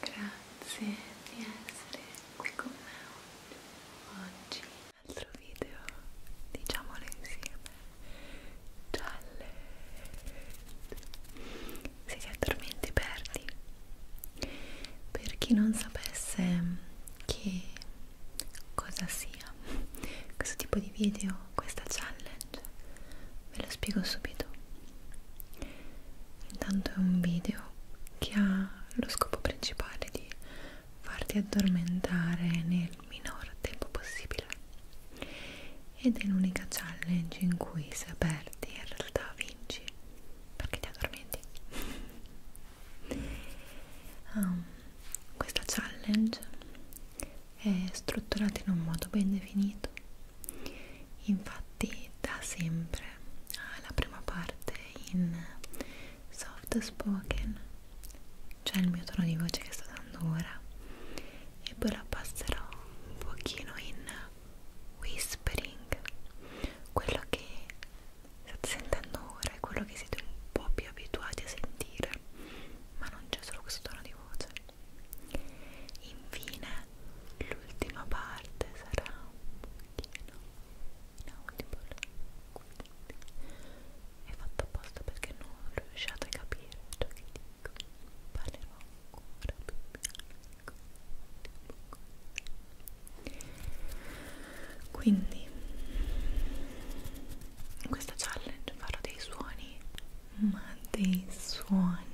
grazie di essere qui con me oggi altro video diciamolo insieme challenge se ti addormenti perdi per chi non sapesse che cosa sia questo tipo di video questa challenge ve lo spiego subito intanto è un video che ha lo scopo principale di farti addormentare nel minor tempo possibile ed è l'unica challenge in cui se perdi in realtà vinci perché ti addormenti um, questa challenge è strutturata in un modo ben definito infatti da sempre alla prima parte in soft spoken cioè il mio tono di voce che sto dando ora e poi la passerò un pochino in whispering quello che state sentendo ora è quello che siete un po' più abituati a sentire ma non c'è solo questo tono di voce infine l'ultima parte sarà un pochino inaudible quindi è fatto apposta perché non riusciate a capire ciò che dico parlerò ancora più bianco quindi in questa challenge farò dei suoni ma dei suoni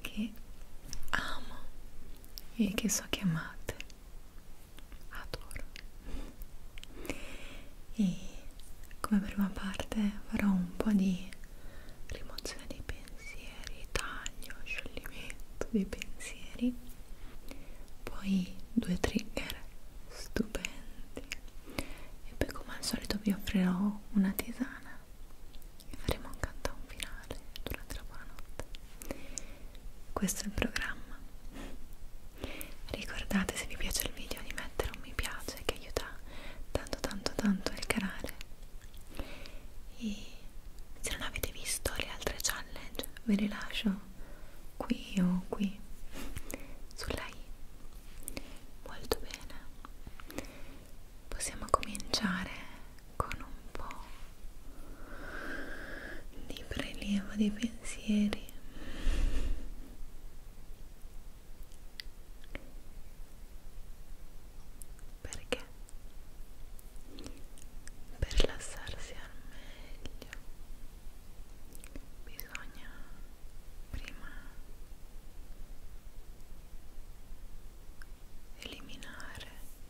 che amo e che so che amate adoro e come prima parte farò un po' di rimozione dei pensieri taglio, scioglimento dei pensieri poi due trigger stupendi e poi come al solito vi offrirò una tisana e faremo un countdown finale durante la buonanotte questo è il programma ricordate se vi piace il video di mettere un mi piace che aiuta tanto tanto tanto il canale e se non avete visto le altre challenge ve le lascio qui o qui sulla i molto bene possiamo cominciare con un po' di prelievo dei pensieri perché per rilassarsi al meglio bisogna prima eliminare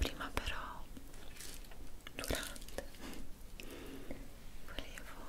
prima però durante volevo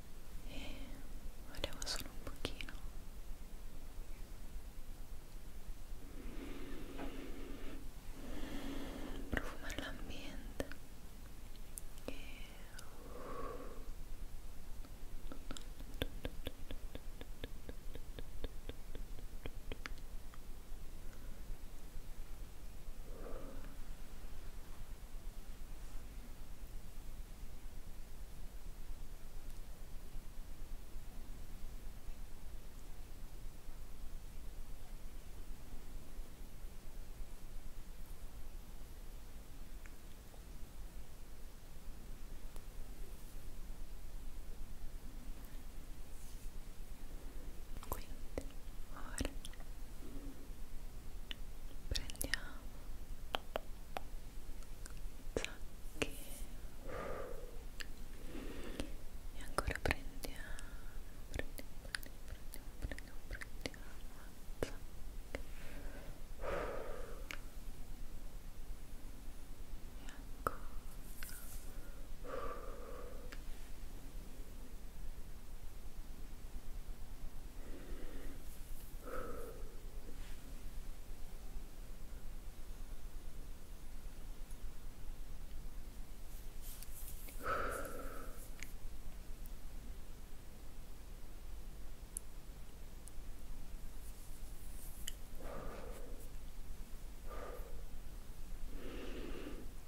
e volevo solo un pochino profumare l'ambiente e Ecco. Quindi ora prendiamo Zacchi. E ancora prendiamo, prendiamo, prendiamo, prendiamo, prendiamo, prendiamo e ancora e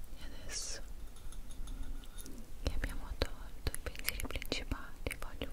E adesso che abbiamo tolto i pensieri principali voglio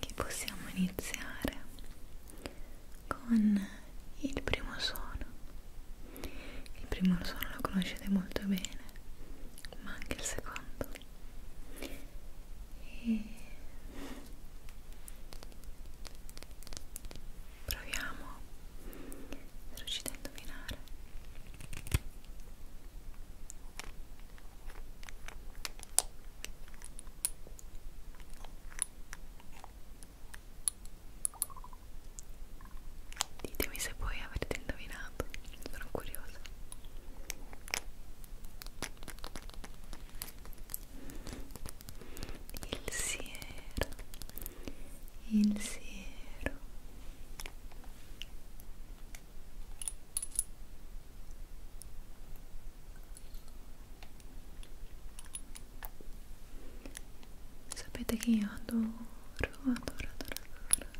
che possiamo iniziare con il primo suono. Il primo suono lo conoscete molto bene, ma anche il secondo. E proviamo se riuscite a indovinare. Ditemi se voi avete indovinato, sono curiosa. Il siero, il siero. Sapete che io adoro, adoro, adoro, adoro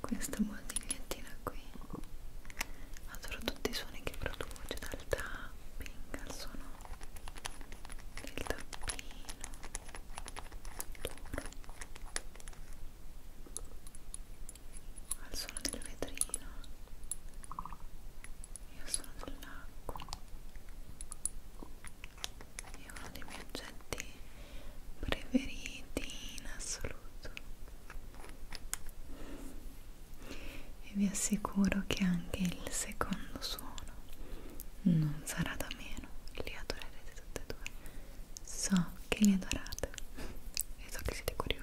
questa musigliettina qui. Adoro tutti i suoni che produce, dal tapping al suono del tappino. Adoro al suono del vetrino e al suono dell'acqua è uno dei miei oggetti preferiti in assoluto e vi assicuro che anche il secondo suono non sarà da meno li adorerete tutti e due so che li adorate e so che siete curiosi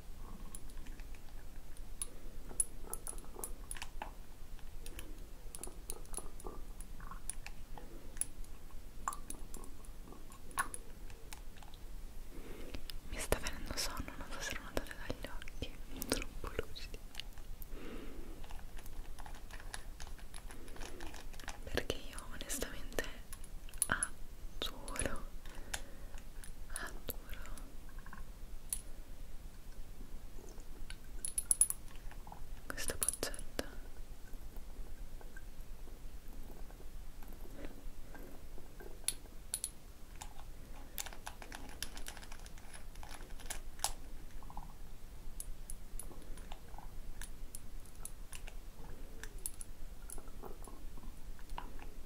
Mi sta venendo sonno, non so se lo notate dagli occhi, troppo lucidi. Perché io onestamente adoro, adoro questa boccetta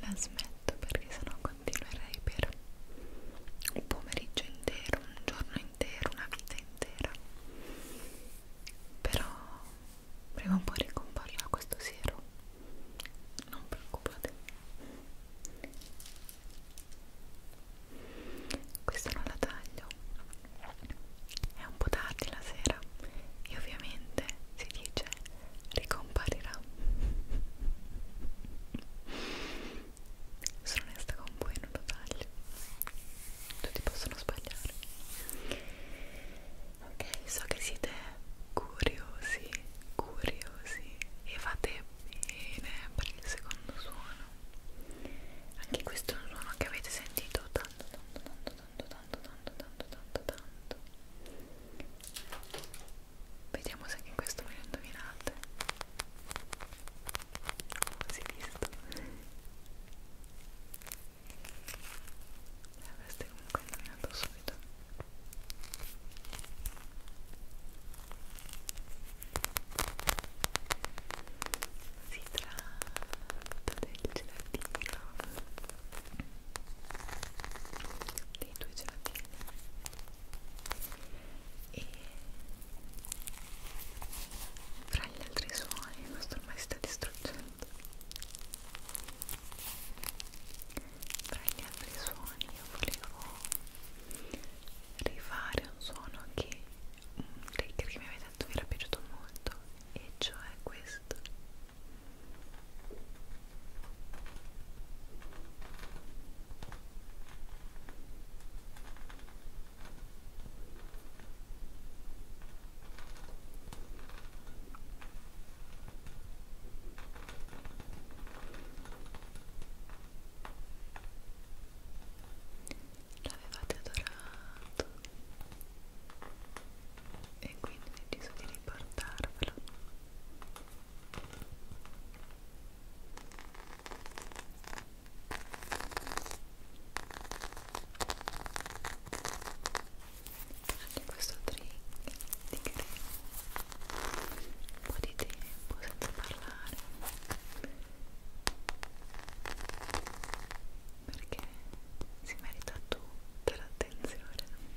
la smetto perché sennò con continuerei per un pomeriggio intero, un giorno intero, una vita intera però prima o poi ricomparrà questo siero non preoccupate questa non la taglio è un po' tardi la sera e ovviamente si dice ricomparirà sono onesta con voi non lo taglio tutti possono sbagliare ok so che siete curiosi curiosi e fate bene per il secondo suono anche questo è un suono che avete sentito tanto tanto tanto tanto tanto tanto tanto tanto tanto Vediamo se anche questo me lo indovinate. Non si è visto. L'avreste eh, comunque indovinato subito. Si tratta del gelatino dei tuoi gelatini e fra gli altri suoni il nostro ormai si sta distruggendo fra gli altri suoni io volevo rifare un suono che, che mi aveva detto mi era piaciuto molto e cioè questo L'avevate adorato e quindi ho deciso di riportarvelo anche questo drink di crema un po' di tempo senza parlare perché si merita tutta l'attenzione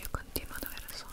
Io continuo ad avere sonno.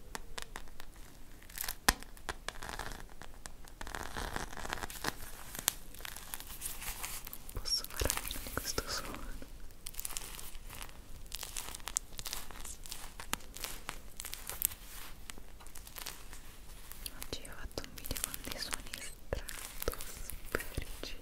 Posso fare a meno di questo suono? Oggi ho fatto un video con dei suoni stratosferici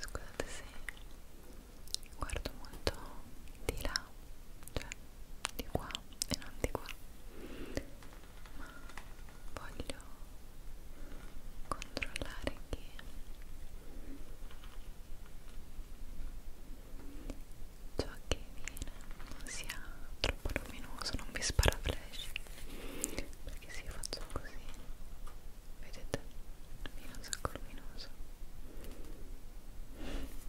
Scusate se guardo molto di là là cioè di qua e non di qua ma voglio controllare che ciò che viene non sia troppo luminoso non mi spara flash perché se io faccio così vedete viene un sacco luminoso ecco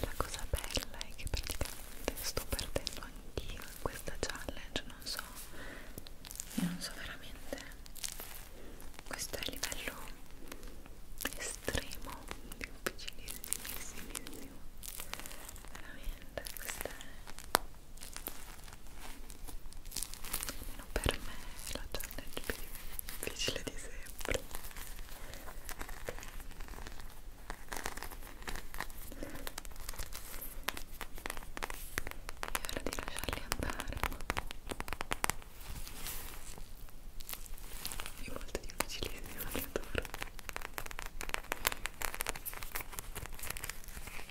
La cosa bella è che praticamente sto perdendo anch'io in questa challenge, non so, io non so veramente, questo è il livello estremo, difficilissimissimo, veramente, questa è almeno per me la challenge più difficile di sempre è ora di lasciarli andare è molto difficilissimo li adoro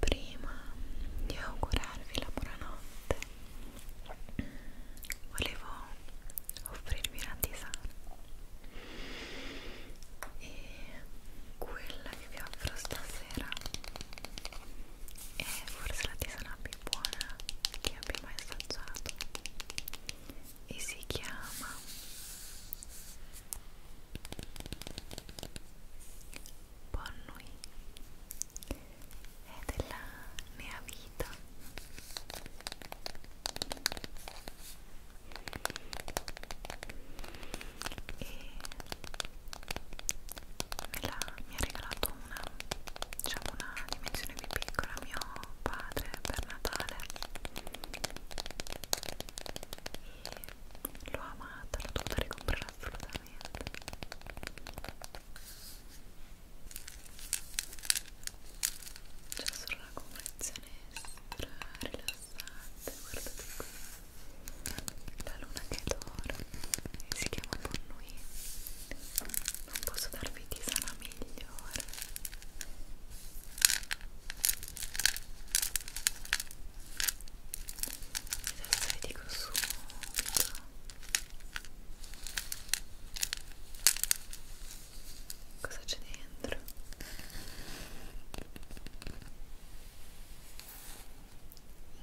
prima di augurarvi la buonanotte volevo offrirvi una tisana e quella che vi offro stasera è forse la tisana più buona che abbia mai assaggiato e si chiama Bonnui e della mia vita e me la, mi ha regalato una diciamo una dimensione più piccola mio padre per Natale e l'ho amata, l'ho dovuta ricomprare assolutamente c'è solo la convenzione stra rilassante, guardate qui. La luna che dorme si chiama Bonnui. Non posso darvi tisana migliore adesso vi dico subito cosa c'è dentro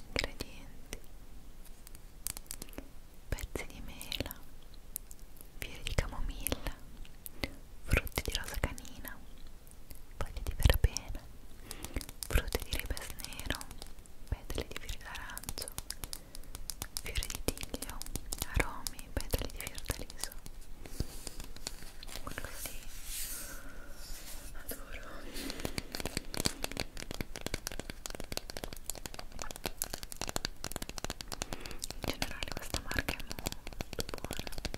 ingredienti pezzi di mela fiori di camomilla frutti di rosa canina foglie di verbena, frutti di ribes nero, petali di fiori d'arancio, fiori di tiglio, aromi, petali di fiordaliso. Così adoro. In generale questa marca è molto buona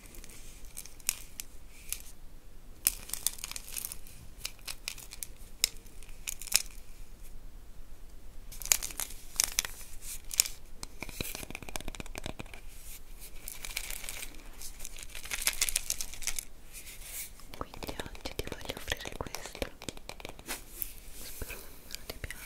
Quindi oggi ti voglio offrire questo. Spero che ti piaccia.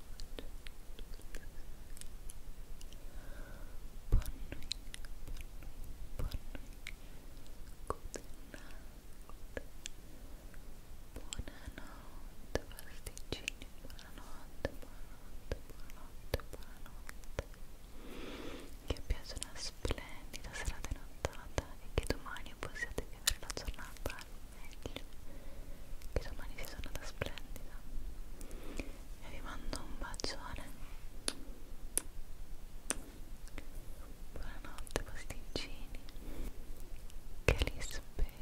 buonanotte Che piace una splendida serata nottata e che domani possiate vivere la giornata al meglio Che domani sia giornata splendida e vi mando un bacione buonanotte posticini che li spero